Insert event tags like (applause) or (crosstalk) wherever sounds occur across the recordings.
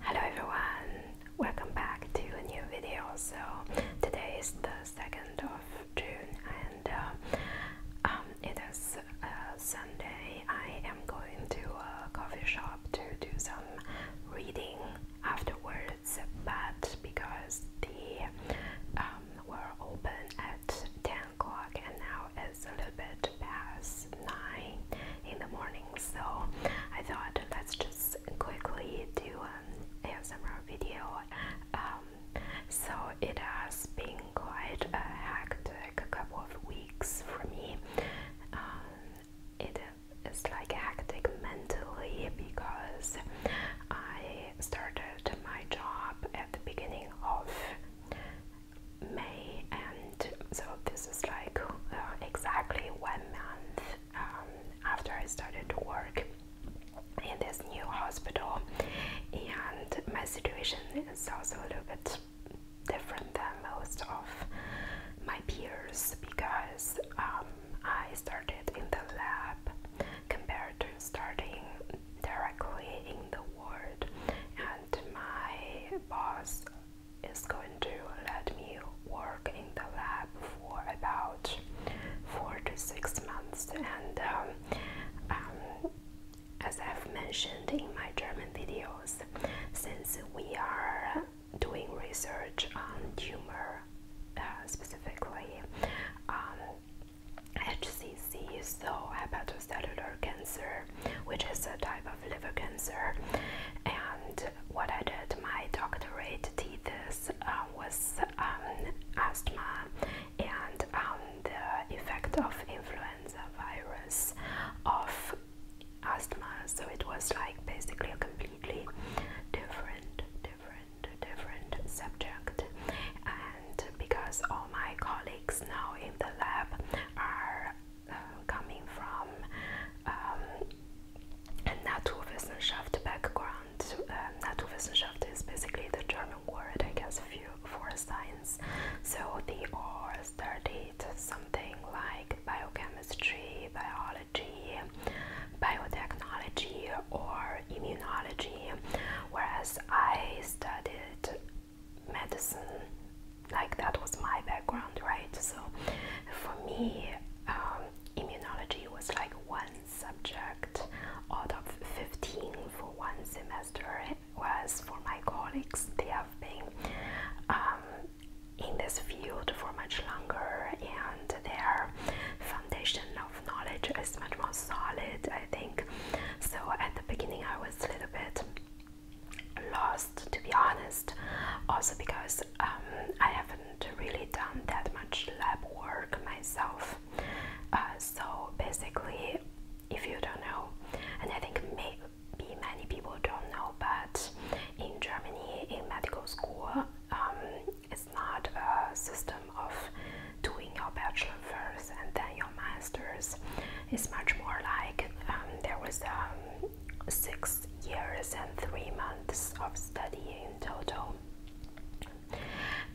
Hello everyone, welcome back to a new video. So today is the 2nd of June and uh, um, it is uh, Sunday. I am going to a coffee shop to do some reading afterwards, but because the um, were open at 10 o'clock and now it's a little bit past 9 in the morning. So I thought let's just quickly do an ASMR video. Um, so it has been quite a hectic couple of weeks for me. Um, it is like hectic mentally because I started my job at the beginning of May, and so this is like uh, exactly one month um, after I started to work in this new hospital, and my situation is also a little bit different than most of my peers because um, I started in the lab compared to starting directly in the ward, and my boss is going to let me work in the lab for about four to six months and um, um, as I've mentioned in my German videos since we are doing research on tumor uh, specifically um, HCC so hepat Cellular cancer, which is a type of liver cancer. And what I did, my doctorate thesis uh, was um, asthma and um, the effect of influenza virus of asthma. So it was like basically a completely different, different, different subject. And because all my colleagues now in the lab are um, coming from um, a Naturwissenschaft background. Um, Naturwissenschaft is basically the German word, I guess, for science. So they all studied something like biochemistry, biology, biotechnology, or immunology, whereas I studied medicine like that was my background right so for me um, immunology was like one subject out of 15 for one semester whereas for my colleagues they have been um, in this field for much longer and their foundation of knowledge is much more solid I think so at the beginning I was a little bit lost to be honest also because um, I haven't really done that much lab work myself uh, so basically if you don't know and I think maybe many people don't know but in Germany in medical school um, it's not a system of doing your bachelor first and then your master's it's much more like um, there was um, six years and three months of study in total,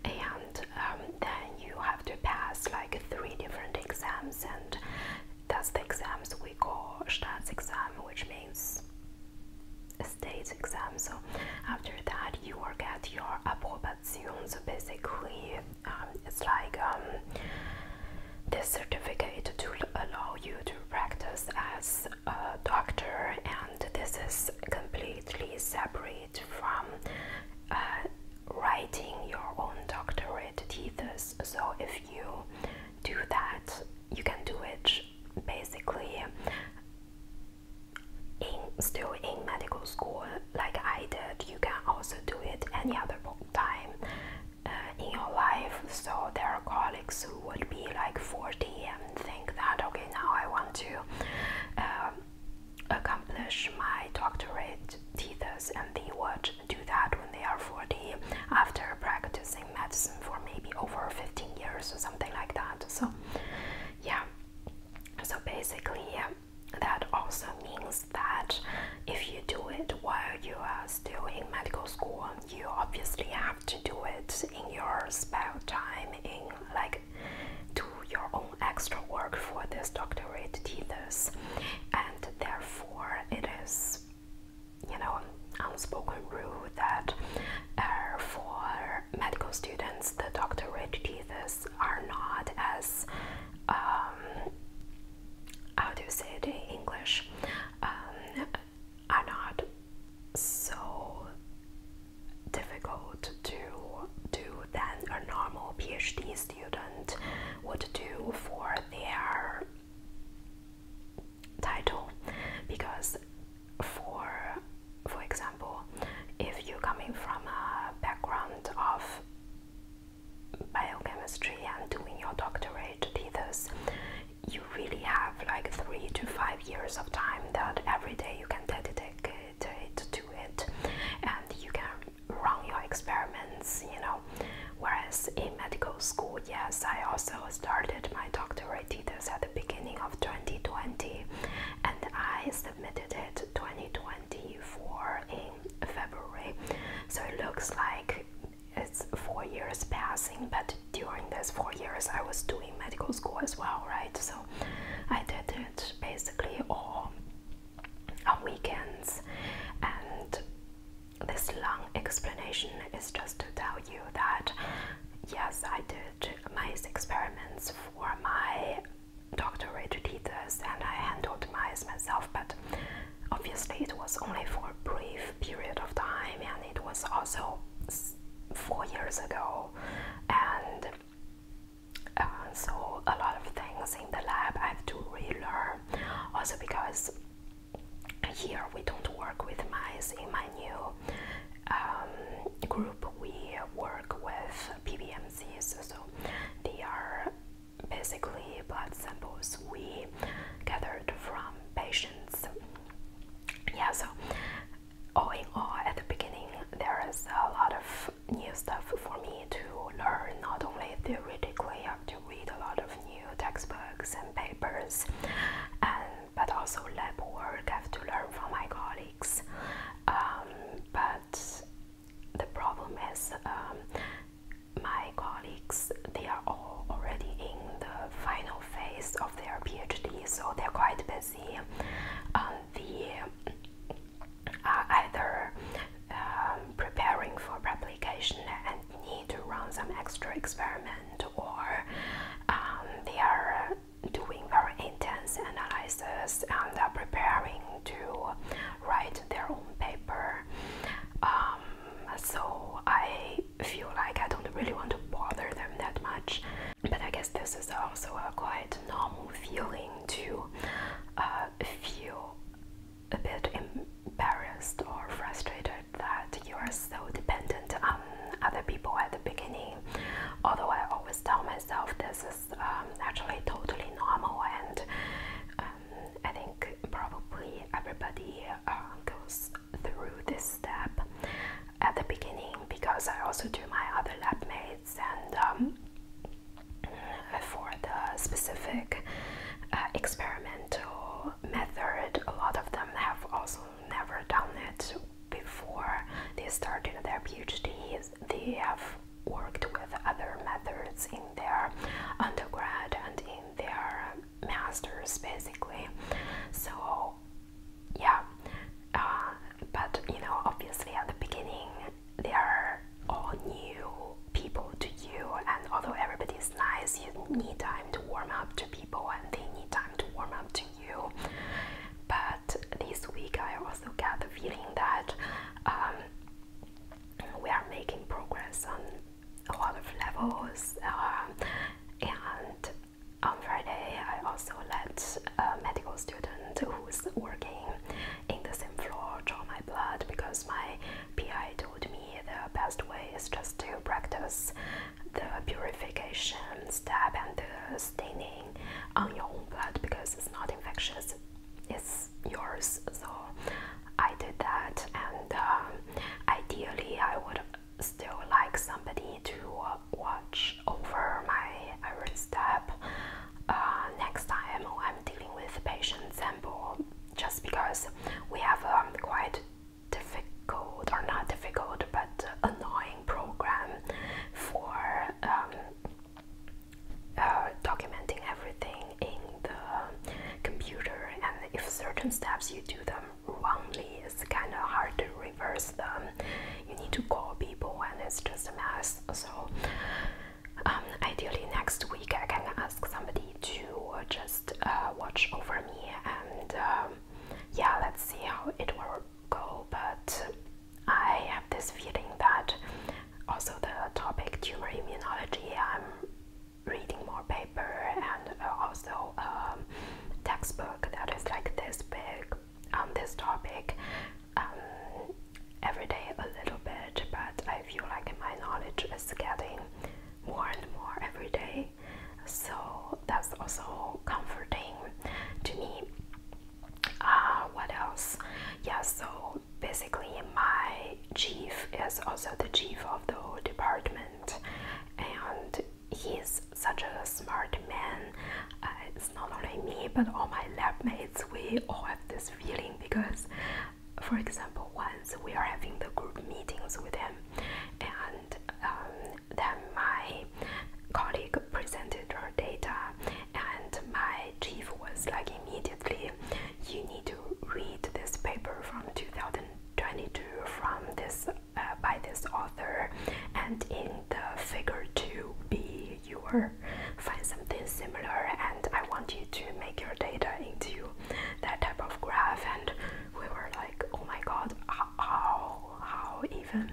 and um, then you have to pass like three different exams, and that's the exams we call state exam, which means state exam. So after that, you will get your approbation. So basically, um, it's like um, this certificate to allow you to practice as a doctor and this is completely separate from uh, writing your own doctorate thesis so if you do that you can do it basically in, still in medical school like I did you can also do it any other time uh, in your life. So there are colleagues who would be like 40 and think that okay, now I want to um, accomplish my doctorate thesis, and they would do that when they are 40 after practicing medicine for maybe over 15 years or something like that. So yeah. So basically, that also means that if you do it while you are still in medical school, you obviously have to do it in your spare time, in like do your own extra work for this doctorate thesis, and therefore it is, you know, unspoken rule that uh, for medical students, the doctorate thesis are not as um, how do you say it in English um, are not so difficult to do than a normal PhD student would do for their title because for for example if you're coming from a background of biochemistry and doing your doctorate thesis, you really have like three to five years of time that every day you can dedicate it to it and you can run your experiments, you know. Whereas in medical school, yes, I also started my doctorate thesis at the beginning of 2020 and I submitted it 2020 24 in February. So it looks like it's four years passing, but during these four years, I was doing medical school as well, right? So I did it basically all on weekends, and this long explanation is just to tell you that yes, I did my experiments for my doctorate thesis and I handled mice myself, but obviously it was only for a brief period of time, and it was also four years ago, and uh, so a lot of things in the lab I have to relearn. Also because here we don't work with mice. In my new um, group, we work with PBMs. So they are basically blood samples we gathered from patients. Yeah, so all in all, at the beginning, there is a lot of new stuff for me to learn. Not only theoretically, I have to read a lot of new textbooks and papers, but also lab work. I have to learn from my colleagues. Um, but the problem is um, my colleagues they are all already in the final phase of their PhD so they're quite busy um, are uh, either um, preparing for publication and need to run some extra experiment or um, they are doing very intense analysis and preparing to write their own paper. Um, so I feel like I don't really want to bother them that much. But I guess this is also a quite normal feeling to uh, feel a bit embarrassed or frustrated that you are so dependent on other people at the beginning. Although I always tell myself this is um, actually totally normal, and um, I think probably everybody uh, goes through this step at the beginning because I also do my other lab mates and um, for the specific uh, experimental method, a lot of them have also never done it before they started their PhDs. They have worked with other methods in their undergrad and in their masters basically so yeah uh, but you know obviously at the beginning they are all new people to you and although everybody is nice you need time to warm up to people and they need time to warm up to you but this week I also got the feeling that um, we are making progress on a lot of levels. Um, and on Friday, I also let a medical student who's working in the same floor draw my blood because my PI told me the best way is just to practice the purification step and the staining on um, your own blood because it's not infectious, it's yours. So I did that, and um, ideally, I would still like somebody to uh, watch over my every step uh, next time I'm dealing with patients, and Just because we have um, quite difficult or not difficult but annoying program for um, uh, documenting everything in the computer, and if certain steps you do them wrongly, it's kind of hard to reverse them. You need to call people, and it's just a mess. So, um, ideally, next week I can ask somebody to just uh, watch over me, and um, yeah, let's see how it will go. But I have this feeling that also the topic tumor immunology, I'm reading more paper and uh, also a um, textbook that is like this big on this topic um, every day a little bit, but I feel like my knowledge is getting more and more every day. So that's also comforting to me uh, what else yeah so basically my chief is also the chief of the whole department and he's such a smart man uh, it's not only me but all my lab mates we all have this feeling because for example once we are having the group meetings with him and um, then my colleague presented her data, and my chief was like immediately, "You need to read this paper from 2022 from this uh, by this author, and in the figure 2b you find something similar, and I want you to make your data into that type of graph." And we were like, "Oh my God, how how even?"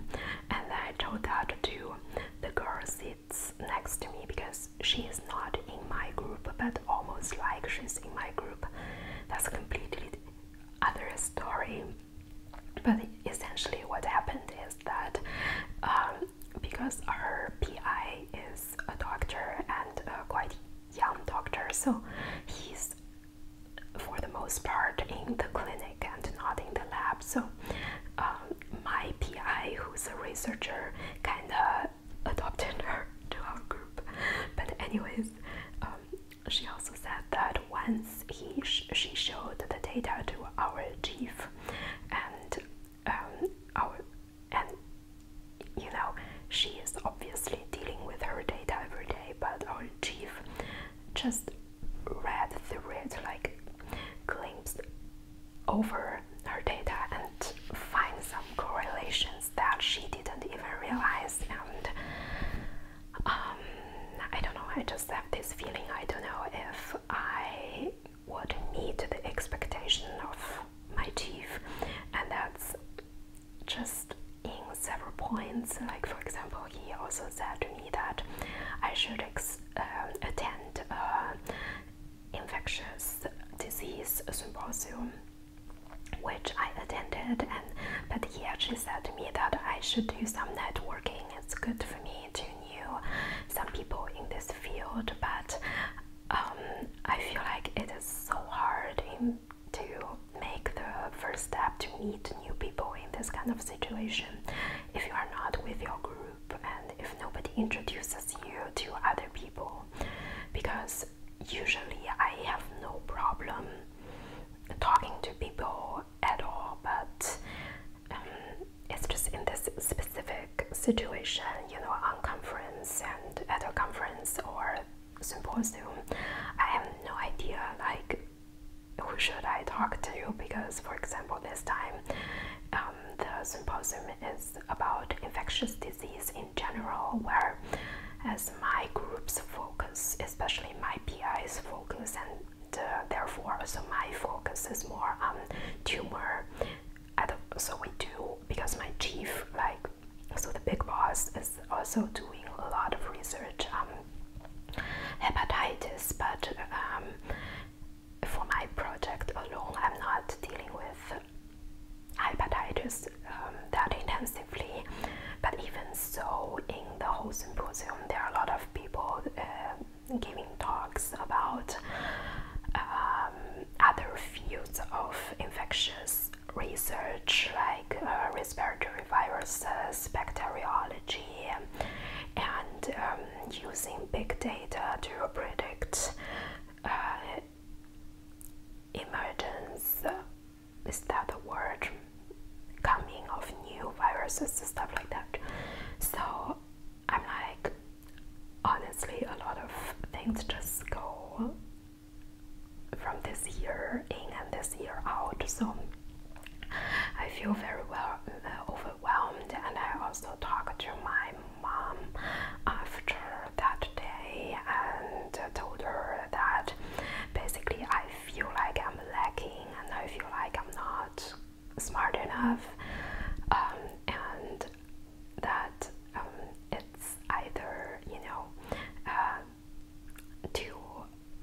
and I told that to the girl sits next to me because she is not in my group but almost like she's in my group. That's completely other story. But essentially what happened is that um, because our PI is a doctor and a quite young doctor so he's for the most part in the clinic and not in the lab. So um, my PI, who's a researcher, kind of adopted her (laughs) to our group. But anyways, um, she also said that once he she showed the data to our chief, and um, our and you know she is obviously dealing with her data every day, but our chief just read the red like glimpse over her data and find some correlations that she didn't even realize and um, I don't know I just have this feeling I don't know if I would meet the expectation of my chief and that's just in several points. Like for example, he also said to me that I should um, attend an infectious disease symposium, which I attended, and but he actually said to me that I should do some networking. It's good for me to know some people in this field, but um, I feel like it is so hard in to make the first step to meet new people in this kind of situation if you are not with your group and if nobody introduces you to other people because usually I have no problem talking to people at all but um, it's just in this specific situation you know on conference and at a conference or symposium I have no idea like who should I talk to? Because, for example, this time um, the symposium is about infectious disease in general, Where, as my group's focus, especially my PI's focus, and uh, therefore also my focus is more on tumor. So we do because my chief, like, so the big boss is also doing a lot of research. Um, hepatitis, but um, for my project alone, I'm not dealing with hepatitis um, that intensively. But even so, in the whole symposium, there are a lot of people uh, giving talks about um, other fields of infectious research, like uh, respiratory viruses, bacteriology, and um, using big data to predict uh, emergence. Is that the word? Coming of new viruses, and stuff like that. So I'm like, honestly, a lot of things just go from this year in and this year out. So I feel very well uh, overwhelmed, and I also talked to my mom after that day and told her that basically I feel like I'm lacking, and I feel like I'm not smart enough, um, and that um, it's either you know. Uh, too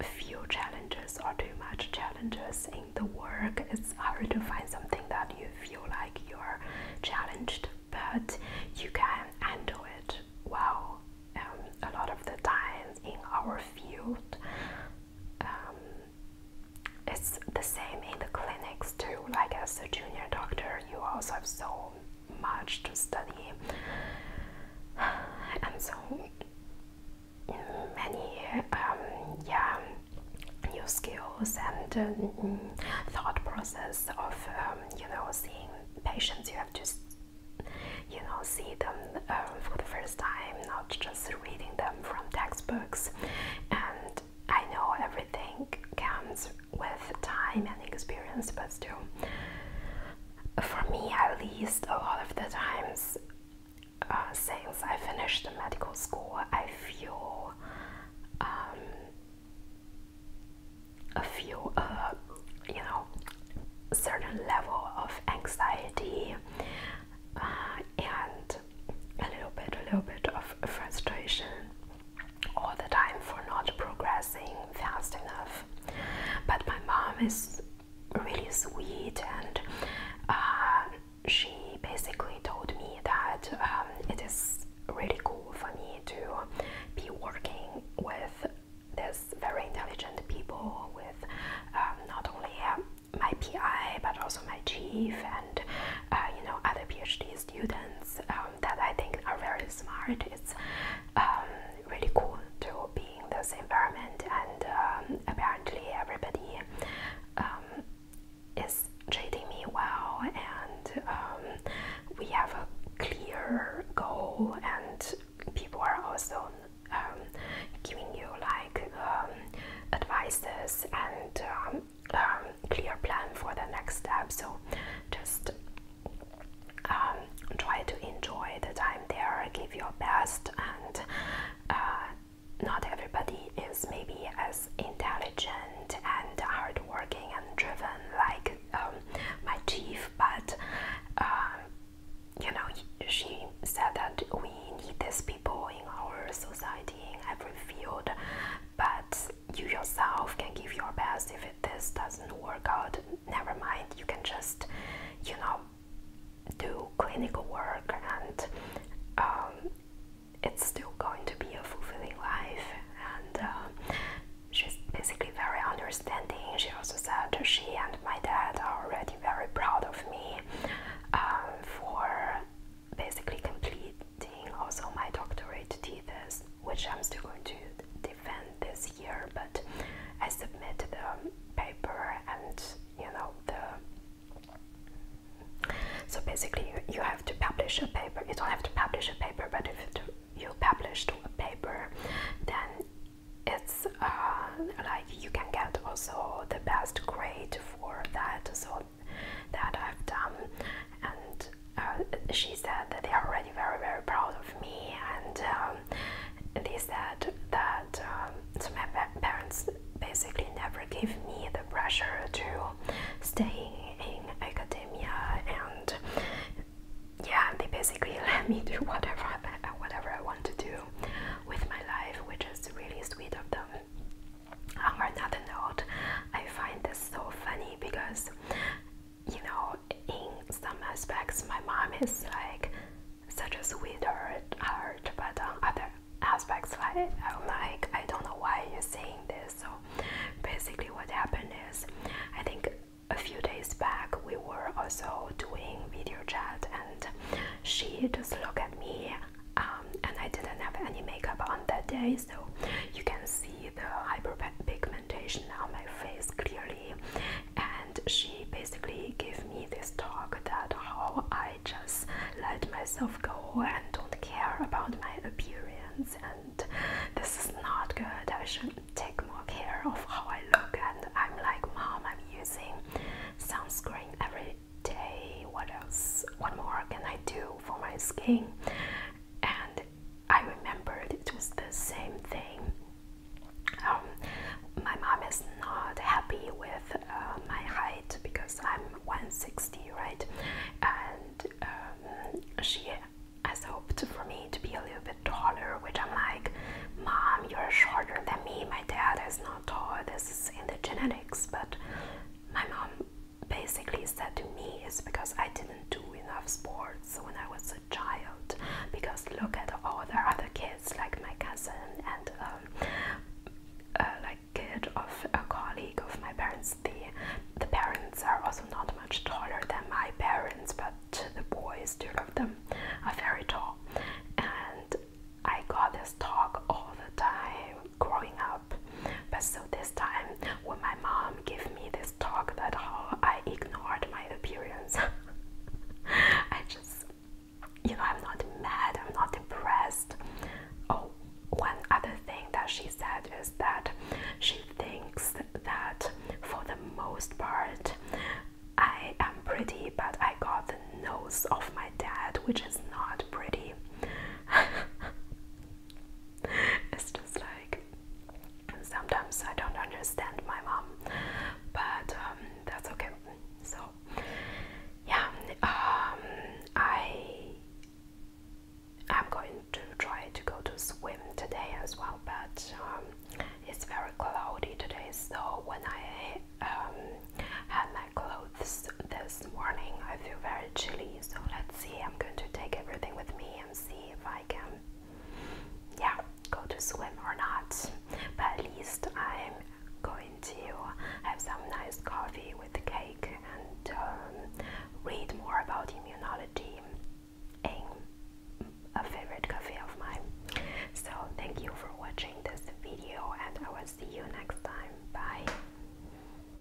few challenges or too much challenges in the work, it's hard to find something that you feel like you're challenged, but you can handle it well. Um, a lot of the times in our field, um, it's the same in the clinics too. Like as a junior doctor, you also have so much to study and so many um, yeah new skills and um, thought process of um, you know seeing patients you have to you know see them for the first time not just reading them from textbooks and I know everything comes with time and experience but still for me at least, a lot of the times uh, since I finished medical school, I feel um, a few, uh, you know, certain level of anxiety uh, and a little bit, a little bit of frustration all the time for not progressing fast enough but my mom is really sweet, and uh, she basically told me that um, it is really cool for me to be working with this very intelligent people, with um, not only my PI but also my chief and uh, you know other PhD students um, that I think are very smart really cool to be in this environment, and um, apparently everybody um, is treating me well, and um, we have a clear goal, and people are also giving you like advices and clear plan for the next step. So just um, try to enjoy the time there, give your best, and uh, not everybody is maybe as intelligent and hardworking and driven like um, my chief, but um, you know, she said that we need these people in our society in every field, but you yourself can give your best. If this doesn't work out, never mind. You can just, you know, do clinical work, and um, it's still going to be a fulfilling life. And uh, she's basically very understanding. She also said she and my dad are already very proud of me uh, for basically completing also my doctorate thesis, which I'm still going to defend this year, but I submit the paper and you know the. So basically, you, have to publish a paper. You don't have to publish a paper, but if you publish a paper, then it's uh, like you can get also the best grade for that. So that I've done, and uh, she said that they are already very very proud of me and um, they said that um, my parents basically never gave me the pressure to stay in academia and yeah they basically (laughs) let me do whatever I, whatever I want to do with my life which is really sweet of them on another note I find this so funny because you know, in some aspects, my mom is like such a sweetheart, heart, but on uh, other aspects, like I'm like, I don't know why you're saying this. So basically, what happened is, I think a few days back we were also doing video chat, and she just looked at me, um, and I didn't have any makeup on that day, so you can see the hyperpigmentation on my face clearly and she basically gave me this talk that how I just let myself go and don't care about my appearance and this is not good I should take more care of how I look and I'm like mom I'm using sunscreen every day what else what more can I do for my skin and I remembered it was the same thing. Um, my mom is not happy with uh, my height because I'm 160, right? And um, she has hoped for me to be a little bit taller, which I'm like, Mom, you're shorter than me. My dad is not tall. This is in the genetics. But my mom basically said to me is because I didn't do enough sports when I was a child. Because look at all the other kids, like my cousin and um, like kid of a colleague of my parents. The the parents are also not much taller than my parents, but the boys, two of them, are very tall. And I got this talk all the time growing up but so this time, when my mom gave me this talk that how I ignored my appearance, (laughs) I just, you know, I'm not mad, I'm not impressed. Oh, one other thing that she said is that she thinks that for the most part, I am pretty, but I got the nose of my dad, which is not pretty. (laughs) (laughs) it's just like sometimes I don't understand my mom, but um, that's okay. So, yeah, um, I am going to try to go to swim today as well, but um, it's very cloudy today. So when I had my clothes this morning, I feel very chilly so let's see. I'm going to take everything with me and see if I can, yeah, go to swim or not. But at least I'm going to have some nice coffee with cake and um, read more about immunology in a favorite cafe of mine. So thank you for watching this video, and I will see you next time. Bye.